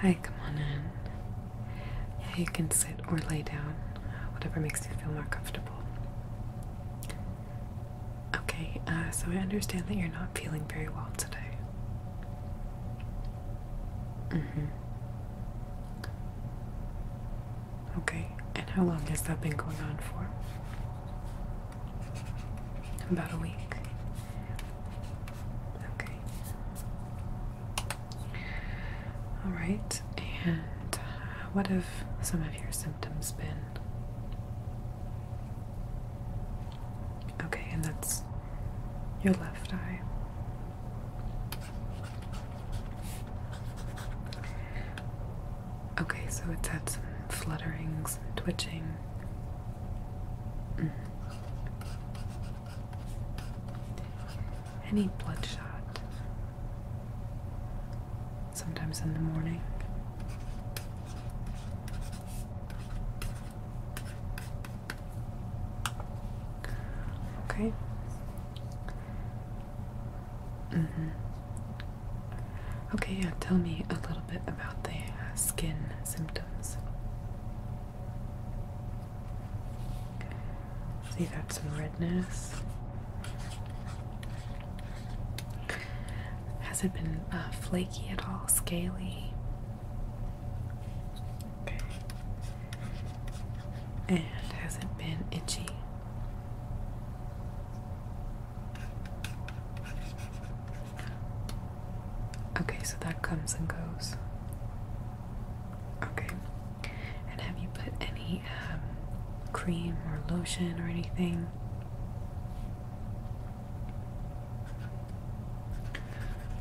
Hi, come on in. Yeah, you can sit or lay down, whatever makes you feel more comfortable. Okay, uh, so I understand that you're not feeling very well today. Mm hmm okay, and how long has that been going on for? About a week. Okay. All right, and what have some of your symptoms been? Okay, and that's your left eye. Okay, so it's had some flutterings twitching. Mm. Any bloodshot. Sometimes in the morning. Okay. Mm -hmm. Okay, yeah, tell me a little bit about the uh, skin symptoms. See you some redness. Has it been uh, flaky at all, scaly? And has it been itchy? Okay, so that comes and goes. Okay. And have you put any um, cream or lotion or anything?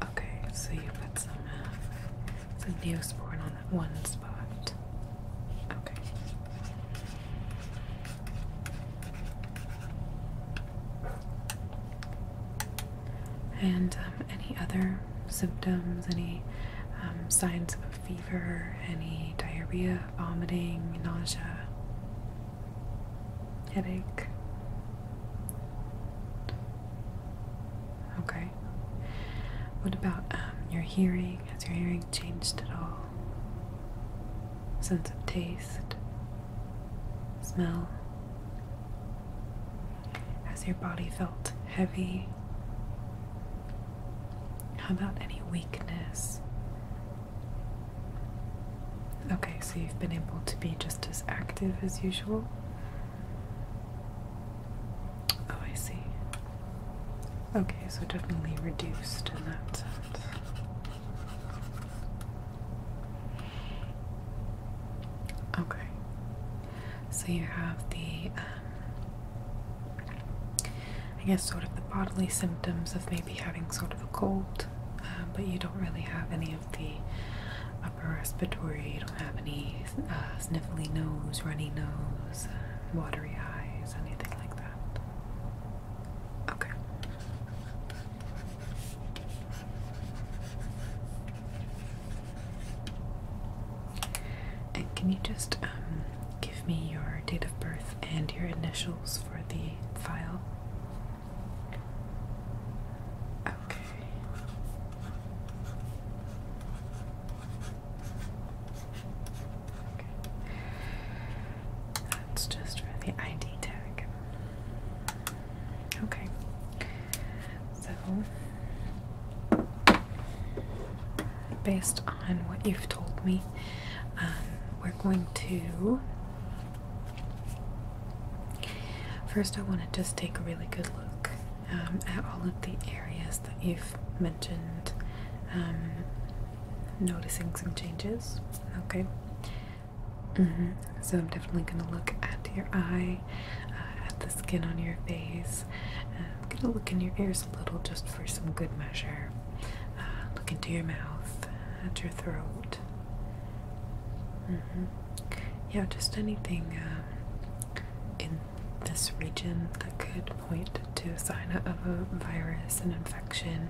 Okay, so you put some uh, so Neosporin on that one spot. Okay. And um, any other symptoms, any um, signs of fever, any diarrhea, vomiting, nausea, headache, Okay. What about um, your hearing? Has your hearing changed at all? Sense of taste? Smell? Has your body felt heavy? How about any weakness? Okay, so you've been able to be just as active as usual. Oh, I see. Okay, so definitely reduced in that sense. Okay. So you have the, um, I guess, sort of the bodily symptoms of maybe having sort of a cold, uh, but you don't really have any of the respiratory. You don't have any uh, sniffly nose, runny nose, watery eyes, anything like that. Okay. And can you just um, give me your date of birth and your initials for the file? Okay. Okay. Okay. That's just for the ID tag. Okay. So, based on what you've told me, um, we're going to. First, I want to just take a really good look um, at all of the areas that you've mentioned, um, noticing some changes. Okay. Mm-hmm. So I'm definitely going to look at your eye, uh, at the skin on your face. Uh, I'm going to look in your ears a little just for some good measure. Uh, look into your mouth, at your throat. Mm-hmm. Yeah, just anything. Um, in this region that could point to a sign of a virus, and infection.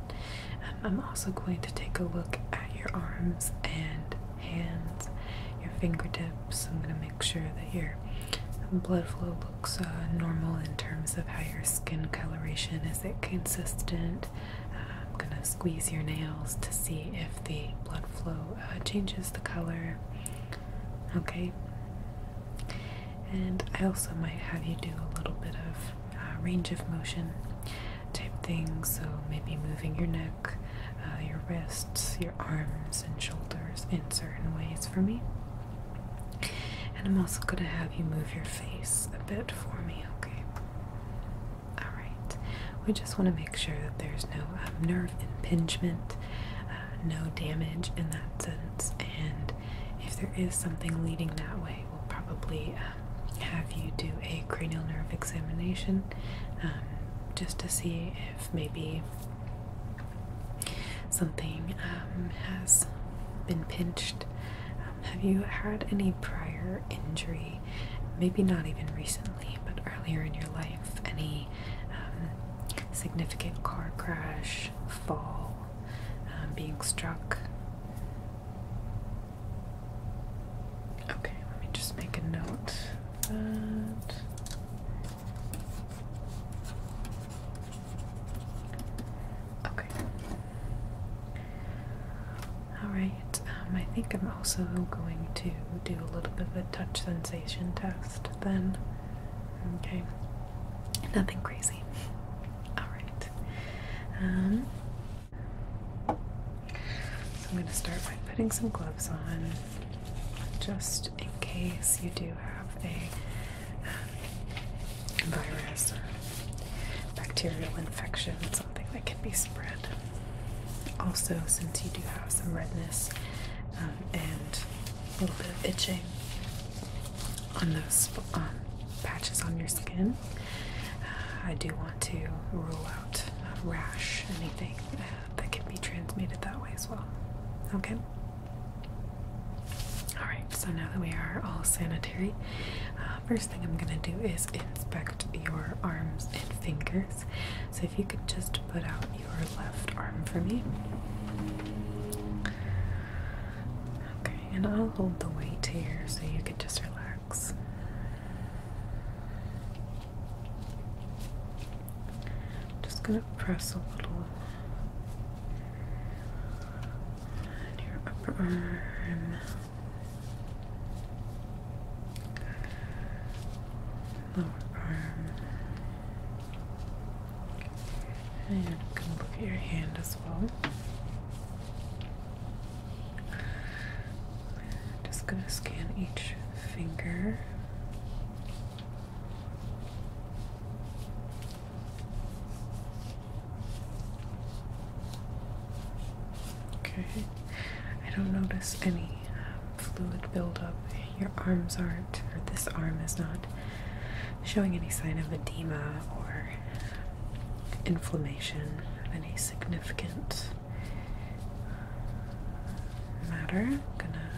Um, I'm also going to take a look at your arms and hands, your fingertips. I'm going to make sure that your blood flow looks uh, normal in terms of how your skin coloration is it consistent. Uh, I'm going to squeeze your nails to see if the blood flow uh, changes the color. Okay. And I also might have you do a little bit of uh, range of motion type thing, so maybe moving your neck, uh, your wrists, your arms, and shoulders in certain ways for me. And I'm also going to have you move your face a bit for me, okay? Alright. We just want to make sure that there's no um, nerve impingement, uh, no damage in that sense, and if there is something leading that way, we'll probably um, have you do a cranial nerve examination um, just to see if maybe something has been pinched. have you had any prior injury? Maybe not even recently, but earlier in your life any um, significant car crash, fall, um, being struck. Okay, let me just make a note Okay. Alright, um, I think I'm also going to do a little bit of a touch sensing test then. Okay, nothing crazy. Alright. Um, so I'm going to start by putting some gloves on just in case you do have a um, virus or bacterial infection, something that can be also, since you do have some redness um, and a little bit of itching on those um, patches on your skin, uh, I do want to rule out um, rash, anything uh, that can be transmitted that way as well. Okay? Alright, so now that we are all sanitary, uh, first thing I'm going to do is inspect your arms and fingers. So if you could just Put out your left arm for me. Okay, and I'll hold the weight here so you can just relax. Just gonna press a little on your upper arm lower arm. And you can look at your hand as well. Just going to scan each finger. Okay, I don't notice any um, fluid buildup. Your arms aren't, or this arm is not showing any sign of edema or inflammation of any significant matter. I'm gonna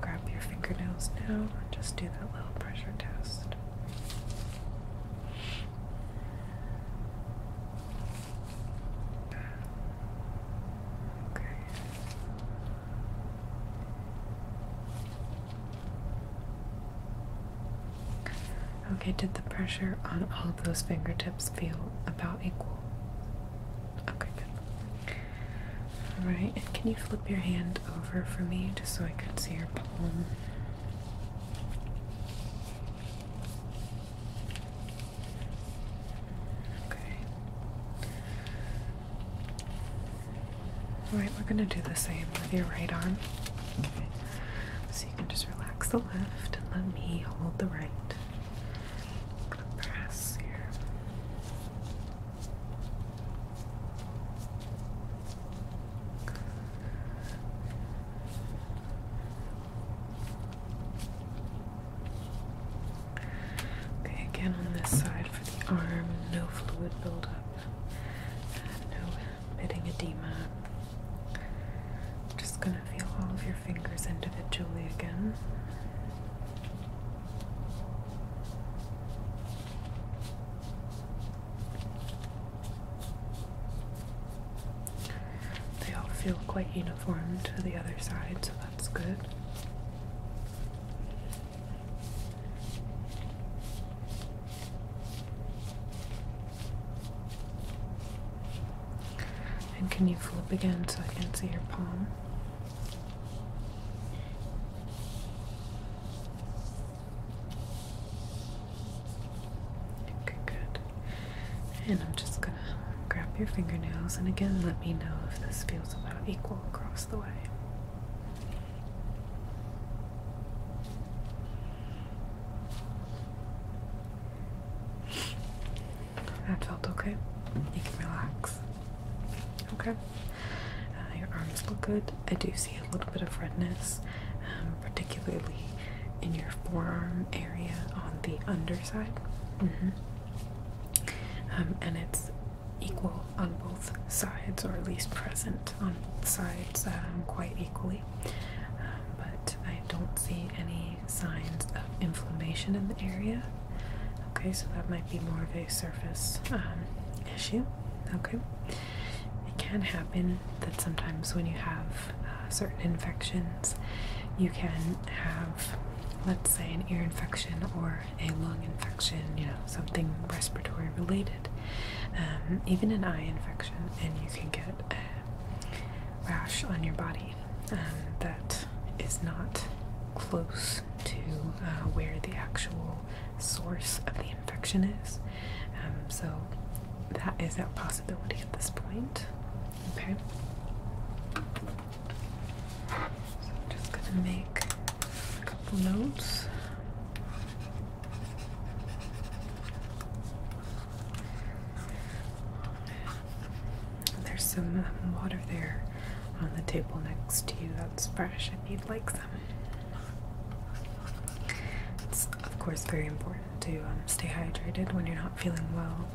grab your fingernails now and just do that little pressure test. Okay. Okay, did the pressure on all those fingertips feel about equal? Okay, Alright, and can you flip your hand over for me just so I can see your palm? Okay. Alright, we're gonna do the same with your right arm. Okay. So you can just relax the left and let me hold the right. press here. Okay, again on this side for the arm, no fluid buildup, no pitting edema. I'm just going to feel all of your fingers individually again. They all feel quite uniform to the other sides that's good. And can you flip again so I can see your palm? Okay, good. And I'm just gonna grab your fingernails and again let me know if this feels about equal across the way. That felt okay. You can relax. Okay. Uh, your arms look good. I do see a little bit of redness, um, particularly in your forearm area on the underside. Mm -hmm. Um, and it's equal on both sides, or at least present on both sides um, quite equally. Um, but I don't see any signs of inflammation in the area. Okay, so that might be more of a surface issue. Okay, it can happen that sometimes when you have uh, certain infections. You can have, let's say, an ear infection or a lung infection, you know, something respiratory related, um, even an eye infection, and you can get a rash on your body um, that is not close to uh, where the actual source of the infection is. Um, so that is a possibility at this point. Okay just gonna make a couple notes. There's some um, water there on the table next to you that's fresh if you'd like some. It's, of course, very important to um, stay hydrated when you're not feeling well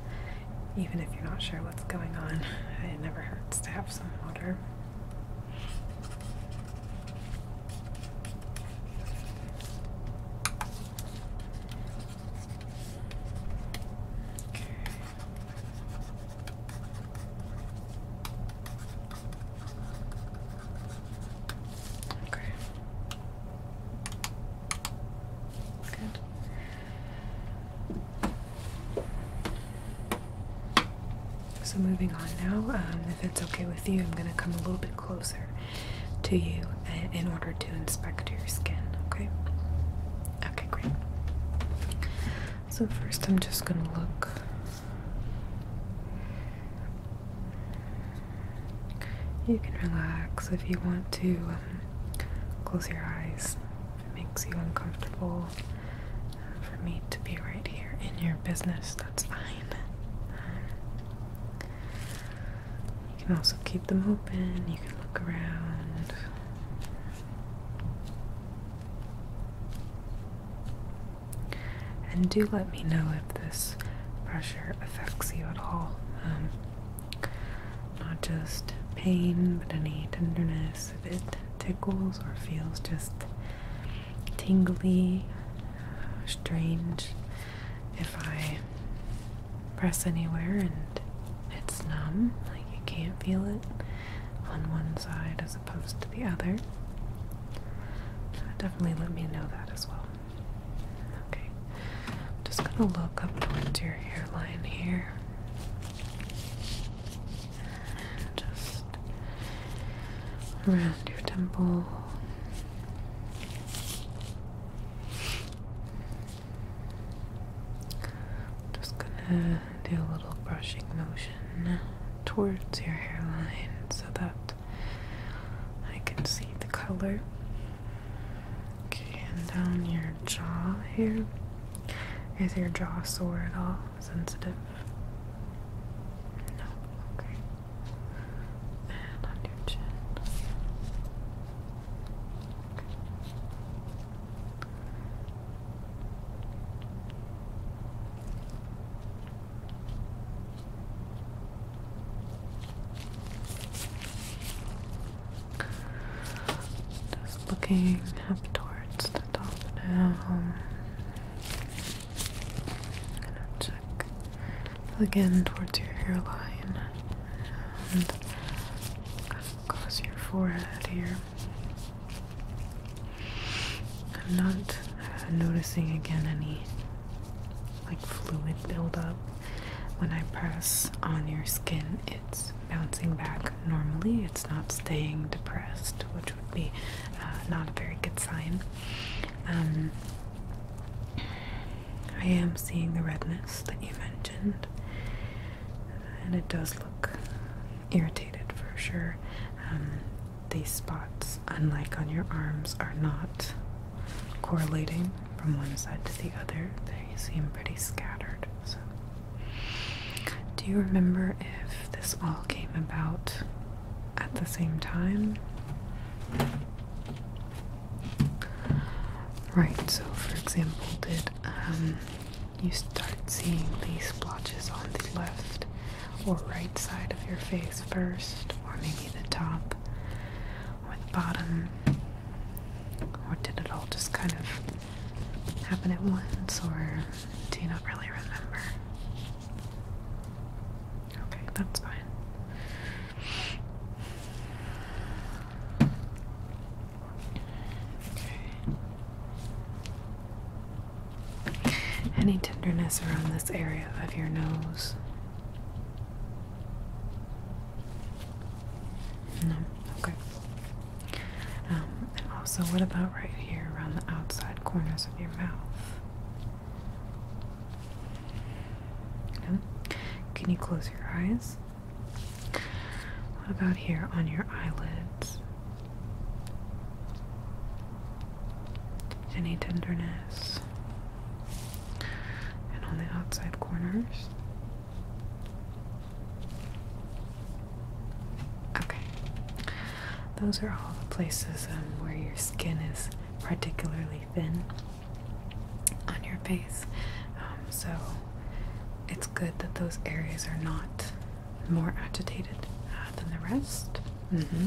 even if you're not sure what's going on. It never hurts to have some water. Okay. Okay. Good. So moving on now, um, if it's okay with you, I'm going to come a little bit closer to you in order to inspect your skin, okay? Okay, great. So first I'm just going to look you can relax if you want to um, Close your eyes if it makes you uncomfortable for me to be right here in your business. That's fine. You can also keep them open, you can look around. And do let me know if this pressure affects you at all. Um, not just pain but any tenderness if it tickles or feels just tingly strange if i press anywhere and it's numb like you can't feel it on one side as opposed to the other definitely let me know that as well okay I'm just gonna look up towards your hairline here. just around your temple. Just gonna do a little brushing motion towards your hairline so that I can see the color. Okay, and down your jaw here. Is your jaw sore at all? Sensitive? No. Okay. And on your chin. Okay. Just looking up towards the top now. gonna check again towards your hairline and across your forehead here. I'm not noticing again any like fluid buildup when I press on your skin, it's bouncing back normally. It's not staying depressed, which would be uh, not a very good sign. Um, I am seeing the redness that you mentioned, and it does look irritated for sure. Um, these spots, unlike on your arms, are not correlating from one side to the other, they seem pretty scattered. So, do you remember if this all came about at the same time? Right, so for example, did um, you start seeing these splotches on the left or right side of your face first, or maybe the top? or the bottom? Or did it all just kind of happen at once, or do you not really remember? Okay, that's fine. Okay. Any tenderness around this area of your nose? No? Okay. Um, and also, what about right here around the outside corners of your mouth? No? Can you close your eyes? What about here on your eyelids? Any tenderness? And on the outside corners? Okay. Those are all the places um, where your skin is particularly thin on your face. Um, so it's good that those areas are not more agitated uh, than the rest. Mm-hmm.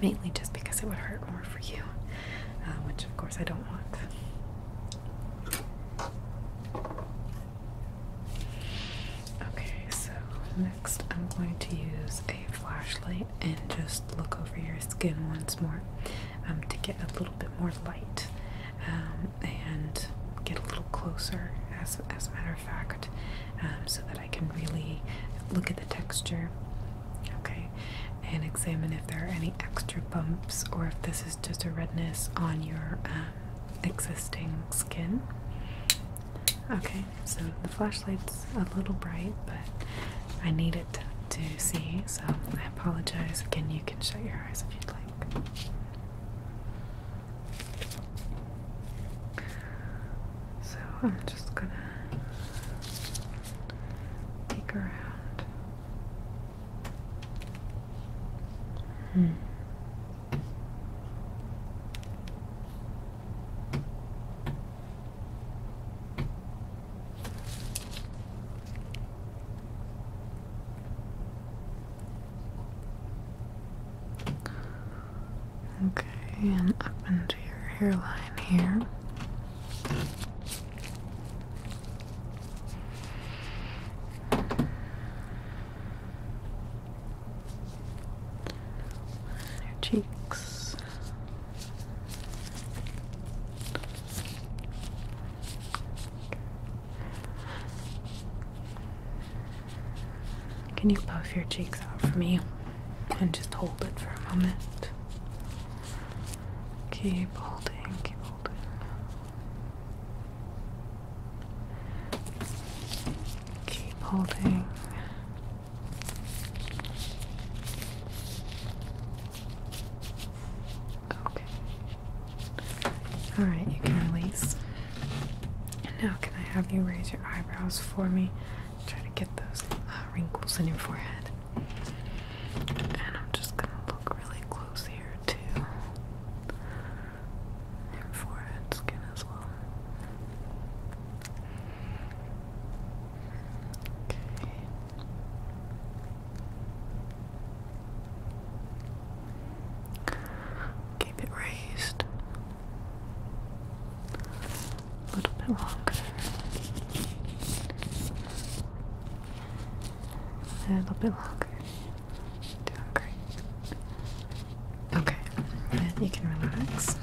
Mainly just because it would hurt more for you, uh, which of course I don't want. Okay, so next I'm going to use a flashlight and just look over your skin once more um, to get a little bit more light um, and get a little closer, as, as a matter of fact, um, so that I can really look at the texture Okay, and examine if there are any extra bumps or if this is just a redness on your um, existing skin. Okay, so the flashlight's a little bright, but I need it to see, so I apologize. Again, you can shut your eyes if you'd like. So I'm just gonna peek around. Okay, and up into your hairline here cheeks. Can you puff your cheeks out for me and just hold it for a moment? Keep holding, keep holding. Keep holding. Okay. Alright, you can release. And now, can I have you raise your eyebrows for me? Try to get those uh, wrinkles in your forehead. And I'm just gonna look really close here too. And forehead skin as well. Okay. Keep it raised. A little bit longer a little bit longer. Doing great. Okay, then you can relax.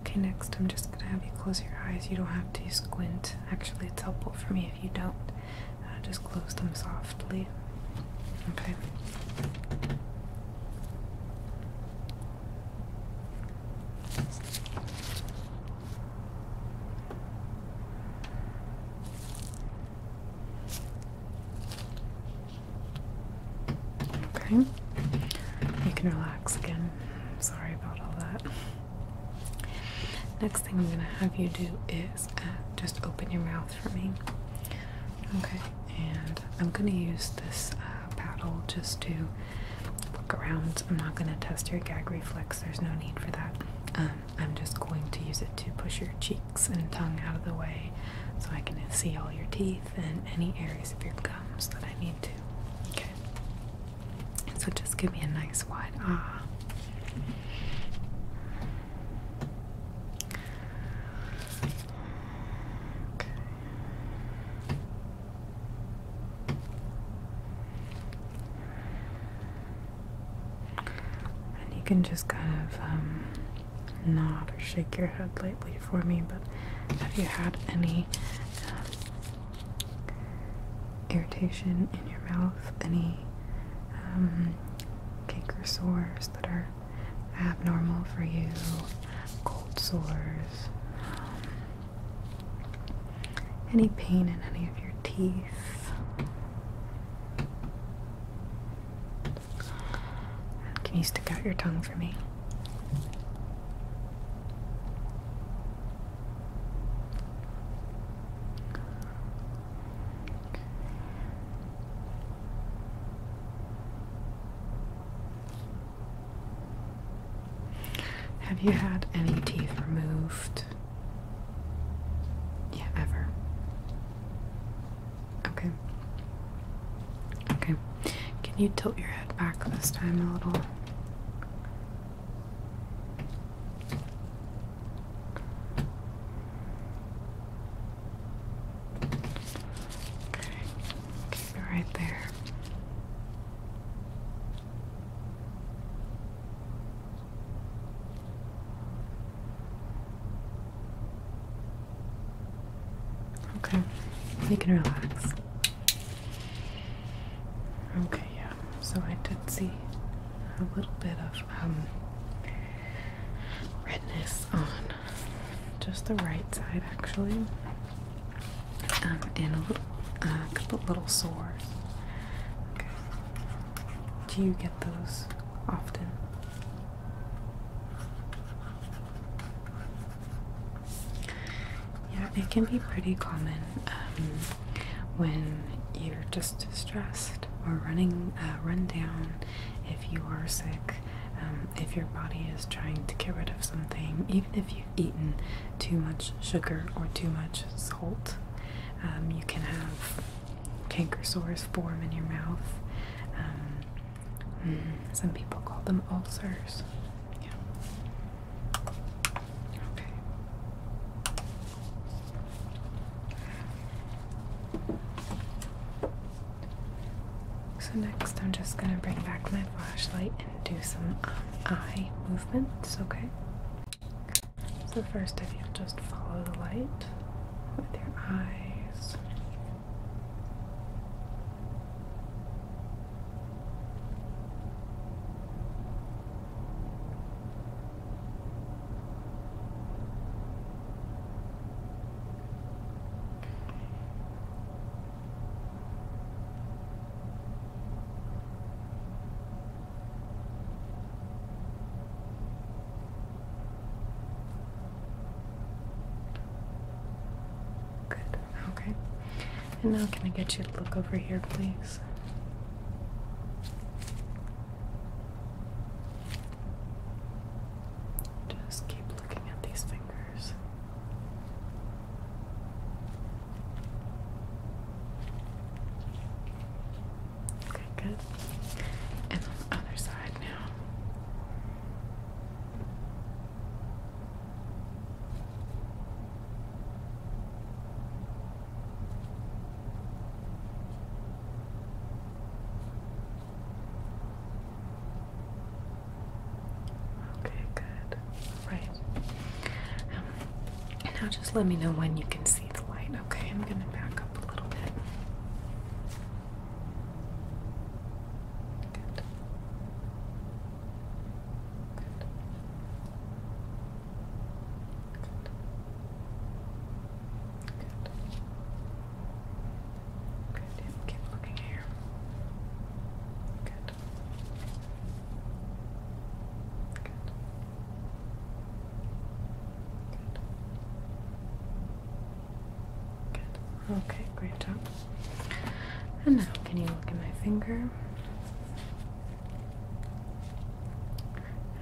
Okay, next I'm just gonna have you close your eyes. You don't have to squint. Actually, it's helpful for me if you don't. Uh, just close them softly. Okay. Okay, you can relax again. Sorry about all that. Next thing I'm going to have you do is uh, just open your mouth for me. Okay, and I'm going to use this uh, paddle just to look around. I'm not going to test your gag reflex, there's no need for that. Um, I'm just going to use it to push your cheeks and tongue out of the way so I can see all your teeth and any areas of your gums that I need to. Okay. So just give me a nice wide ah. And you can just kind of um, nod or shake your head lightly for me, but have you had any um, irritation in your mouth? Any um, sores that are abnormal for you? Cold sores? Um, any pain in any of your teeth. Can you stick out your tongue for me? Have you had any teeth removed? Yeah, ever. Okay. Okay. Can you tilt your head back this time a little? Okay. Keep it right there. Okay, you can relax. Okay, yeah, so I did see a little bit of um, redness on just the right side, actually. Um, and a little, uh, couple little sores. Do you get those often? Yeah, it can be pretty common um, when you're just stressed or running, uh, rundown. If you are sick, um, if your body is trying to get rid of something, even if you eaten too much sugar or too much salt. Um, you can have canker sores form in your mouth. Um, mm, some people call them ulcers. Yeah. Okay. So, next, I'm just going to bring back my flashlight and do some um, eye movements, okay? So, first, if you just follow the light with your eyes. Good. Okay. And now can I get you to look over here, please? Just keep looking at these fingers. Okay, good. And the other side now. Okay, good. All right. now just let me know when you can see the light. Okay, I'm going to back up a little bit. Good. Good. Good. Good. Good. Keep looking here. Good. Okay, great job. And now, can you look at my finger?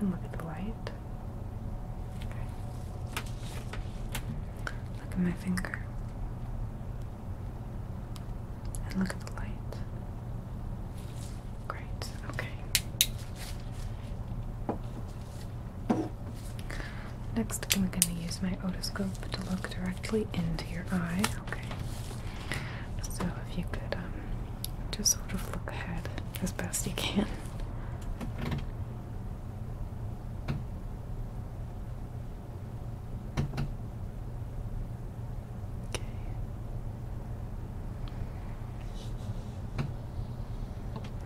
And look at the light. Look at my finger. And look at the light. Great, okay. Next, I'm going to use my otoscope to look directly into your eye, okay? So, if you could um, just sort of look ahead as best you can. Okay.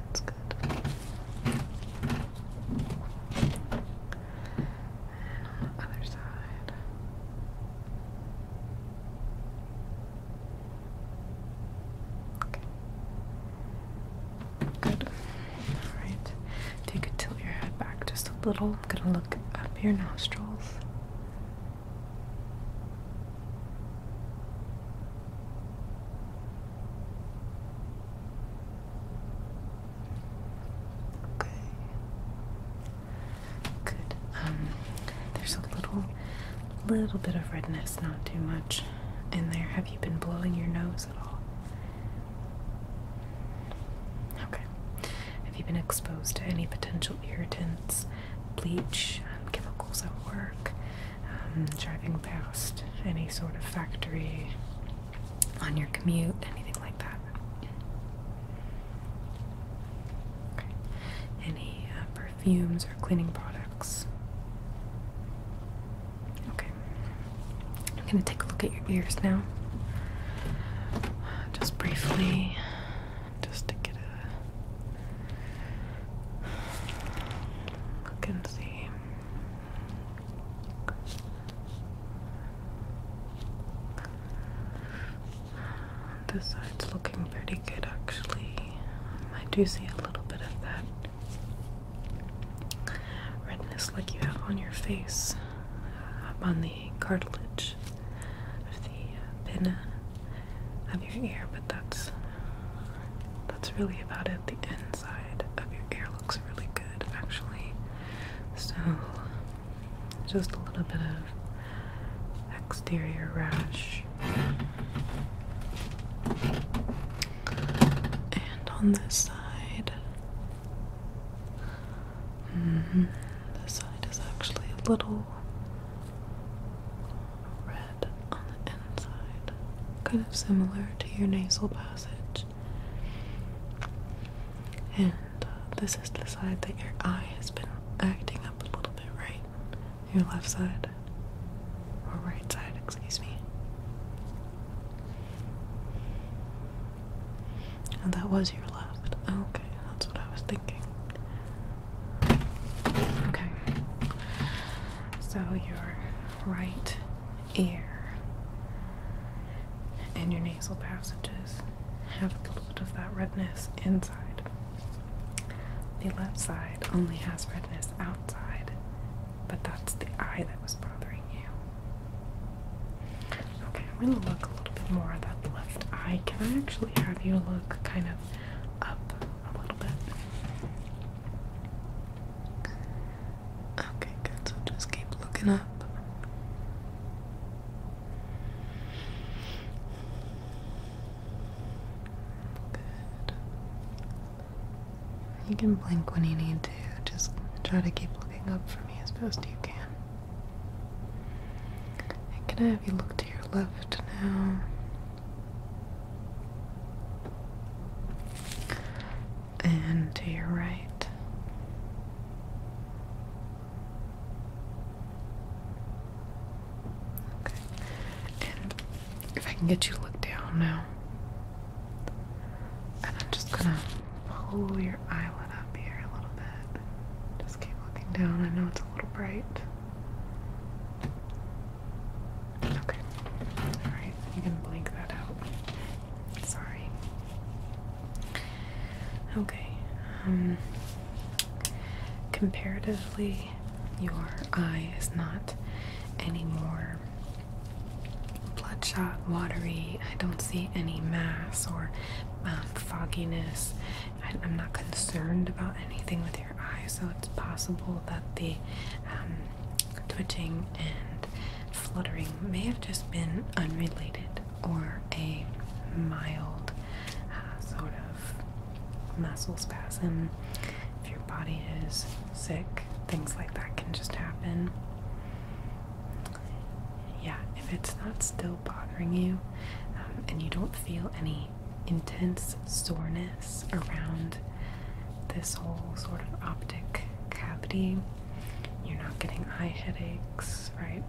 That's good. other side. Okay. Good. Alright. If you could tilt your head back just a little, I'm gonna look up your nostrils. Okay. Good. Um, there's a little, little bit of redness, not too much, in there. Have you been blowing your nose at all? Okay. Have you been exposed to any potential irritants, bleach, um, chemicals at work, um, driving past any sort of factory on your commute, anything like that? Any uh, perfumes or cleaning products? Okay. I'm going to take a look at your ears now. Just briefly, just to get a look and see. This side's looking pretty good actually. I do see a little bit of that redness like you have on your face up on the cartilage of the uh, pinna of your ear, but that's that's really about it. The inside of your ear looks really good, actually. So just a little bit of exterior rash. And on this side, Mm-hmm. This side is actually a little red on the inside, kind of similar to your nasal passage. And uh, this is the side that your eye has been acting up a little bit, right? Your left side or right side, excuse me. Oh, that was your left. Okay, that's what I was thinking. Okay. So your right ear and your nasal passages have a little bit of that redness inside. The left side only has redness outside, but that's the eye that was bothering you. Okay, I'm gonna look a little bit more at that left eye. Can I actually have you look kind of up a little bit? Okay, good. So just keep looking up. Good. You can blink when you need to. Just try to keep looking up for me as best you can. And can I have you look to your left now? And to your right. Okay. And if I can get you to look down now. And I'm just gonna pull your eyelid up here a little bit. Just keep looking down. I know it's a little bright. Okay. Alright, you can blink that out. Sorry. Okay. Um, comparatively, your eye is not any more bloodshot, watery. I don't see any mass or um, fogginess. I, am not concerned about anything with your eyes, so it's possible that the um, twitching and fluttering may have just been unrelated or a mild uh, sort of muscle spasm. If your body is sick, things like that can just happen yeah, if it's not still bothering you um, and you don't feel any intense soreness around this whole sort of optic cavity, you're not getting eye headaches, right?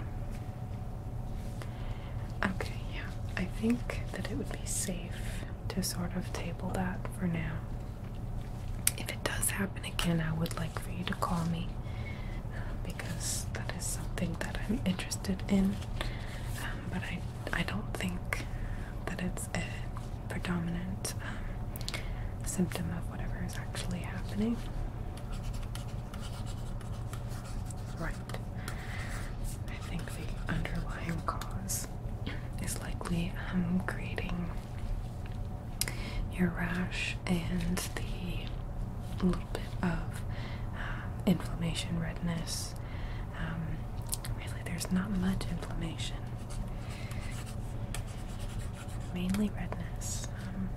Okay, yeah, I think that it would be safe to sort of table that for now if it does happen again, I would like for you to call me because that is something that I'm interested in. Um, but I, I don't think that it's a predominant um, symptom of whatever is actually happening. Right. I think the underlying cause is likely um, creating your rash and the little bit of um, inflammation, redness. Um, really, there's not much inflammation, mainly redness. Um,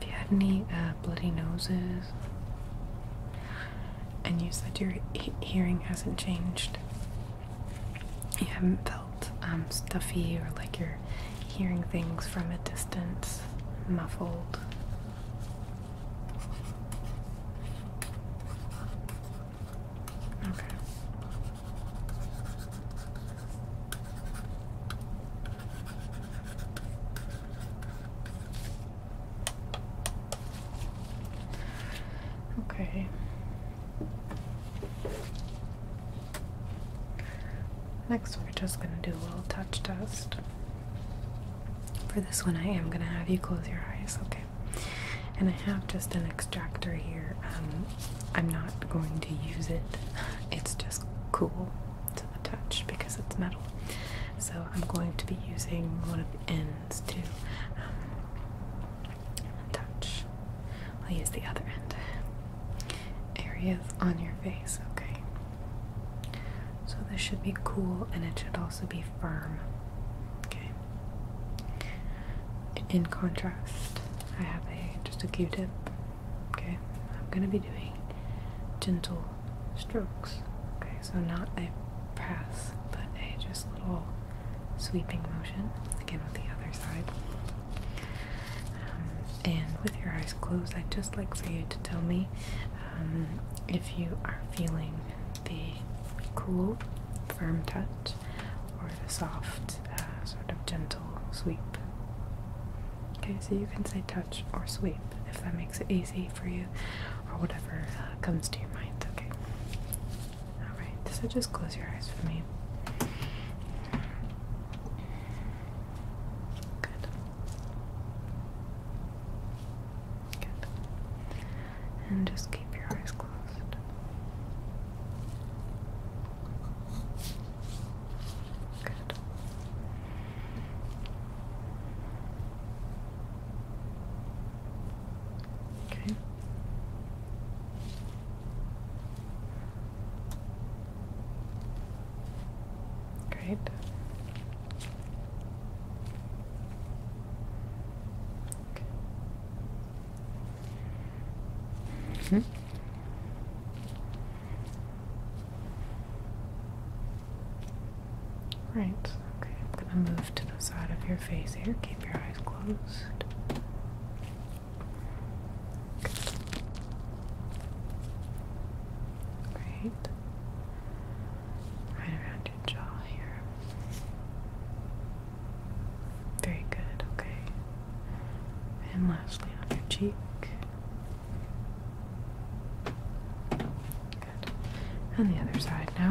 if you had any uh, bloody noses, and you said your hearing hasn't changed, you haven't felt um, stuffy or like you're hearing things from a distance, muffled. Okay. Okay. Next, we're just going to do a little touch test. For this one, I am going to have you close your eyes, okay? And I have just an extractor here. Um, I'm not going to use it. It's just cool to the touch because it's metal. So I'm going to be using one of the ends to um, touch. I'll use the other end. Areas on your face, okay. So this should be cool and it should also be firm. Okay in contrast, I have a just a Q-tip. Okay, I'm gonna be doing gentle strokes. Okay, so not a press, but a just little sweeping motion. Again with the other side. Um, and with your eyes closed, I'd just like for you to tell me um, if you are feeling the cool, firm touch or the soft, uh, sort of gentle sweep. Okay, so you can say touch or sweep if that makes it easy for you, or whatever uh, comes to your mind. Okay. All right. So just close your eyes for me. Good. Good. And just keep your eyes closed. Good. Okay. Great. Okay. Hmm. Right, okay, I'm gonna move to the side of your face here. Keep your eyes closed. Great. Right around your jaw here. Very good, okay. And lastly on your cheek. Good. On the other side now.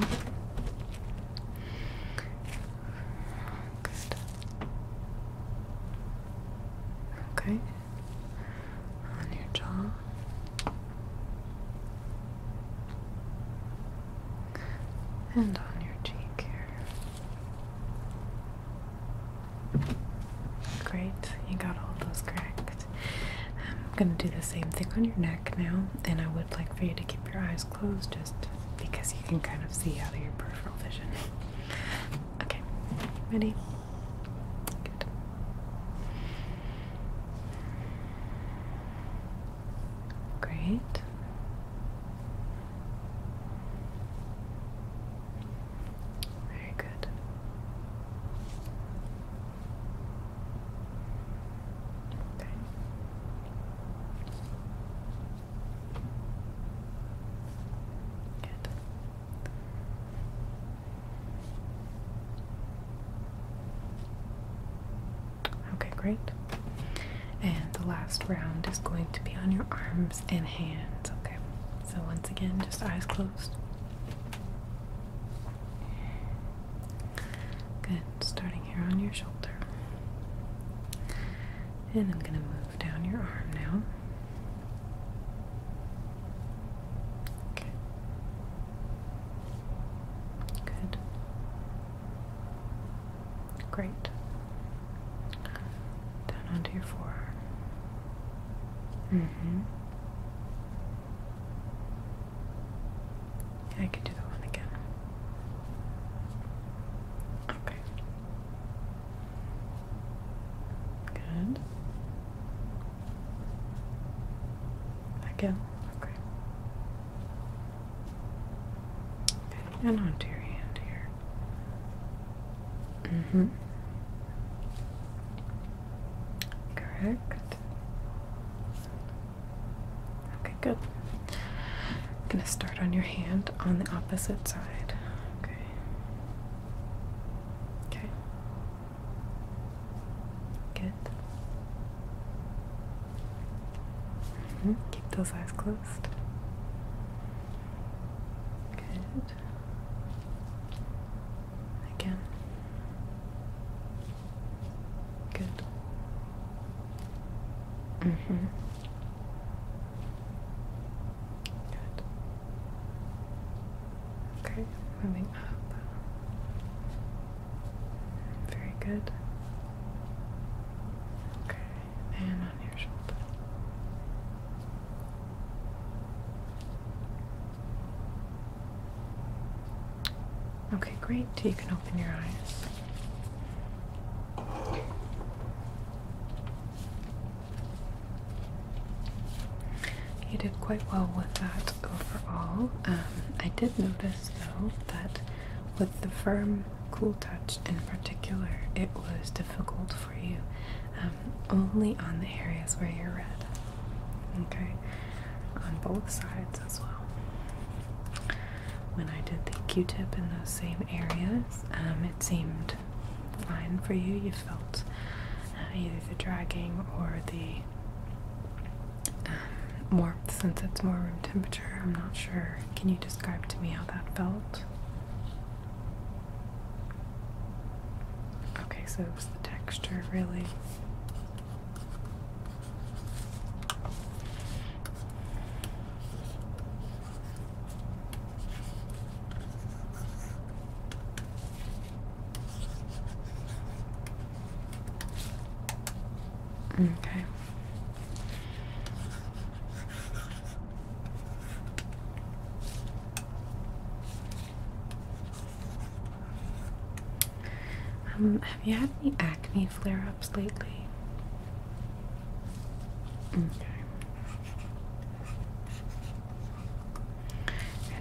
Good. Okay. On your jaw. And on your cheek here. Great, you got all those correct. I'm gonna do the same thing on your neck now, and I would like for you to keep your eyes closed just because you can kind of see out of your peripheral vision. Okay, ready? Good. Great. Very good. Okay. Good. Okay, great. And the last round is going to be on your arms and hands, okay? So, once again, just eyes closed. Good. Starting here on your shoulder. And I'm going to move down your arm now. Okay. Good. Great. Down onto your forearm. hmm I could do that one again. Okay. Good. Again. Okay. Okay and onto your hand here. Mm hmm. Correct. Okay, good. I'm gonna start on your hand on the opposite side. Okay. Okay. Good. -hmm. Keep those eyes closed. Good. Again. Good. Mm-hmm. Good. Okay, moving up. Very good. Okay. Okay, great. You can open your eyes. You did quite well with that overall. Um, I did notice though that with the firm Cool Touch in particular, it was difficult for you um, only on the areas where you're red. Okay, on both sides as well. When I did the Q-tip in those same areas, um, it seemed fine for you. You felt uh, either the dragging or the um, warmth since it's more room temperature. I'm not sure. Can you describe to me how that felt? Okay, so it was the texture, really. Okay. Um, have you had any acne flare ups lately? Okay.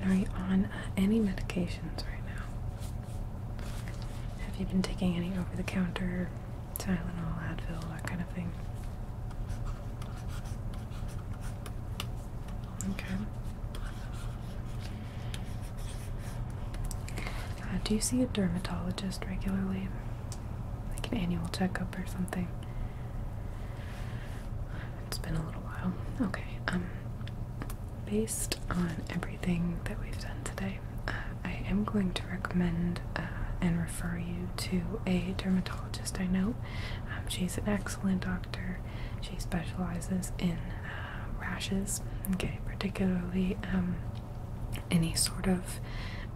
And are you on uh, any medications right now? Have you been taking any over the counter Tylenol, Advil, that kind of thing. Okay. Uh, do you see a dermatologist regularly? Like an annual checkup or something? It's been a little while. Okay. Um, based on everything that we've done today, uh, I am going to recommend uh, and refer you to a dermatologist I know. Um, she's an excellent doctor. She specializes in uh, rashes, okay, particularly um, any sort of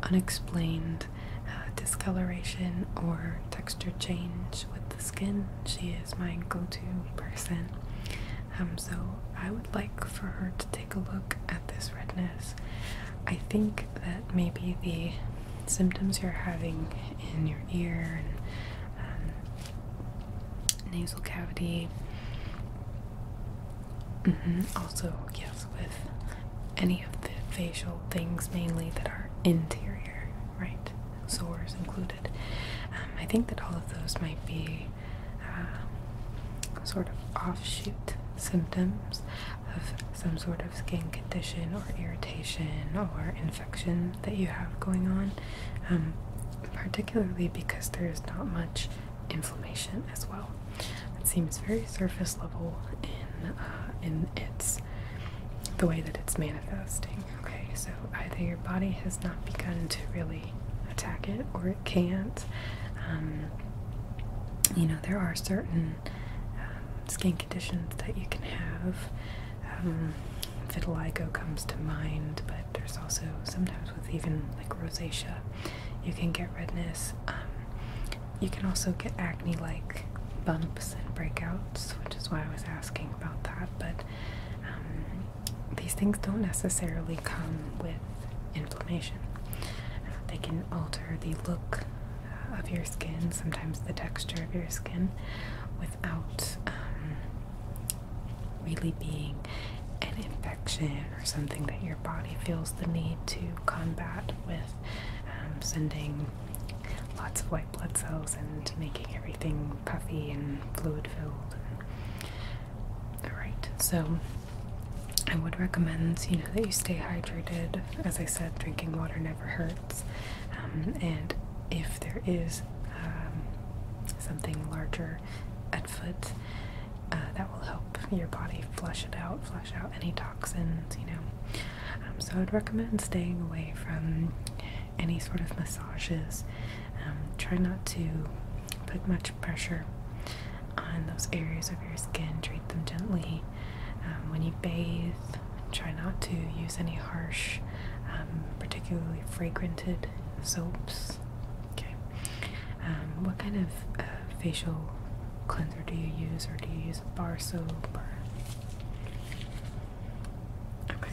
unexplained uh, discoloration or texture change with the skin. She is my go to person. Um, so I would like for her to take take a look at this redness. I think that maybe the symptoms you're having in your ear and um, nasal cavity, mm-hmm. also, yes, with any of the facial things mainly that are interior, right? Sores included. Um, I think that all of those might be uh, sort of offshoot symptoms of some sort of skin condition or irritation or infection that you have going on, um, particularly because there is not much inflammation as well. It seems very surface level in uh, in its the way that it's manifesting. Okay, so either your body has not begun to really attack it, or it can't. Um, you know, there are certain um, skin conditions that you can have. Um, vitiligo comes to mind, but there's also sometimes with even like rosacea, you can get redness. Um, you can also get acne like bumps and breakouts, which is why I was asking about that. But these things don't necessarily come with inflammation. they can alter the look uh, of your skin, sometimes the texture of your skin, without um, really being an infection or something that your body feels the need to combat with um, sending lots of white blood cells and making everything puffy and fluid filled. Alright, so I would recommend, you know, that you stay hydrated. As I said, drinking water never hurts. Um, and if there is um, something larger at foot, uh, that will help your body flush it out, flush out any toxins, you know. Um, so I'd recommend staying away from any sort of massages. Um, try not to put much pressure on those areas of your skin. Treat them gently um, when you bathe. Try not to use any harsh, um, particularly fragranted soaps. Okay. Um, what kind of uh, facial cleanser do you use, or do you use a bar soap? Okay.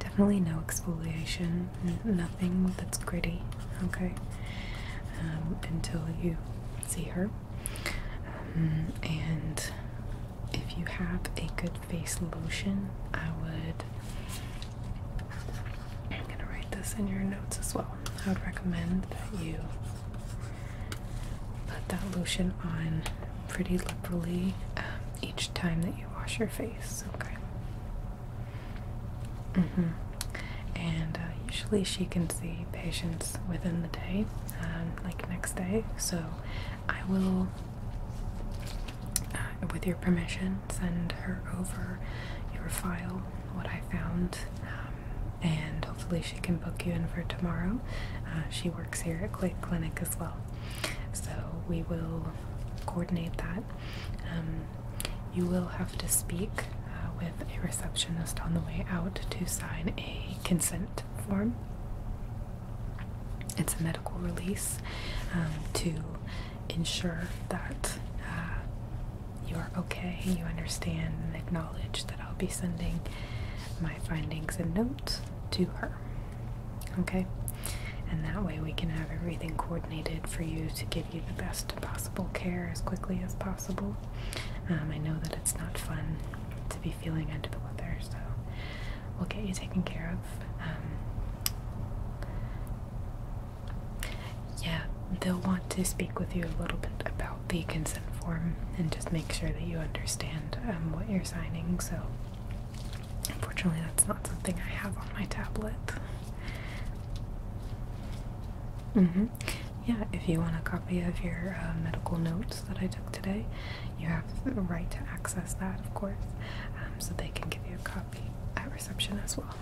Definitely no exfoliation. Nothing that's gritty okay, um, until you see her. Um, and if you have a good face lotion, I would. I'm gonna write this in your notes as well. I would recommend that you put that lotion on pretty liberally um, each time that you wash your face. Okay. Mm -hmm. And uh, usually she can see patients within the day, um, like next day. So I will, uh, with your permission, send her over your file, what I found, um, and hopefully she can book you in for tomorrow. Uh, she works here at Click Clinic as well. So we will coordinate that. Um, you will have to speak uh, with a receptionist on the way out to sign a consent form. It's a medical release um, to ensure that uh, you are okay, you understand, and acknowledge that I'll be sending my findings and notes to her. Okay? And that way we can have everything coordinated for you to give give the best possible care as quickly as possible. Um, I know that it's not fun to be feeling under the weather, so we'll get you taken care of. Um, yeah, they'll want to speak with you a little bit about the consent form and just make sure that you understand um, what you're signing. So, unfortunately, that's not something I have on my tablet. Mm -hmm. Yeah, if you want a copy of your uh, medical notes that I took today, you have the right to access that, of course, um, so they can give you a copy at reception as well.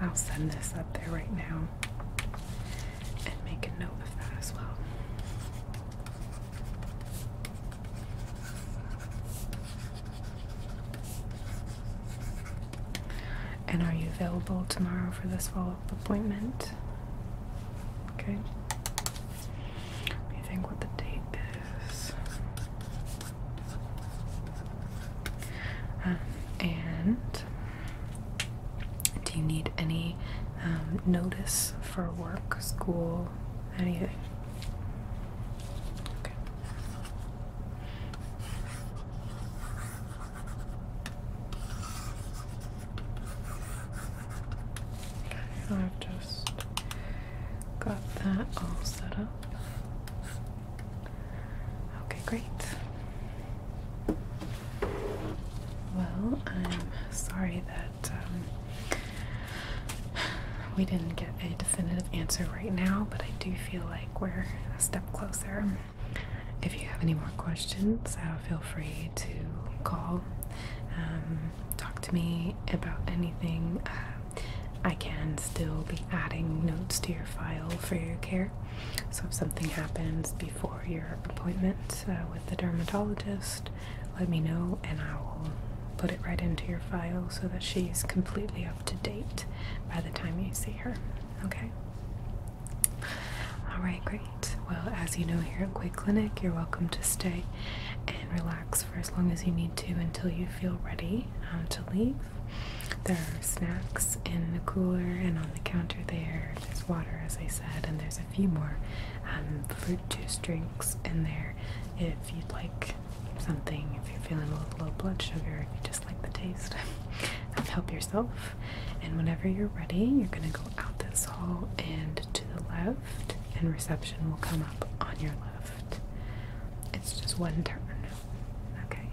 I'll send this up there right now and make a note of that as well. And are you available tomorrow for this follow up appointment? Okay. Let me think what the date is. Um, and do you need any um, notice for work, school, anything? Okay. I've just got that all set up. Okay, great. Well, I'm sorry that um, we didn't get a definitive answer right now, but I do feel like we're a step closer. If you have any more questions, uh, feel free to call, um, talk to me about anything. Uh, I can still be adding notes to your file for your care. So if something happens before your appointment uh, with the dermatologist, let me know and I will put it right into your file so that she's completely up to date by the time you see her. Okay? Alright, great. Well, as you know, here at Quick Clinic, you're welcome to stay and relax for as long as you need to until you feel ready um, to leave. There are snacks in the cooler and on the counter there. There's water, as I said, and there's a few more um, fruit juice drinks in there if you'd like something if you're feeling a little low blood sugar, if you just like the taste help yourself. And whenever you're ready, you're going to go out this hall and to the left, and reception will come up on your left. It's just one turn. Okay.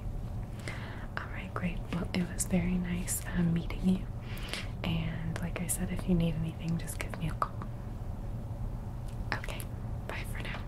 All right, great. Well, it was very nice um, meeting you. And like I said, if you need anything, just give me a call. Okay, bye for now.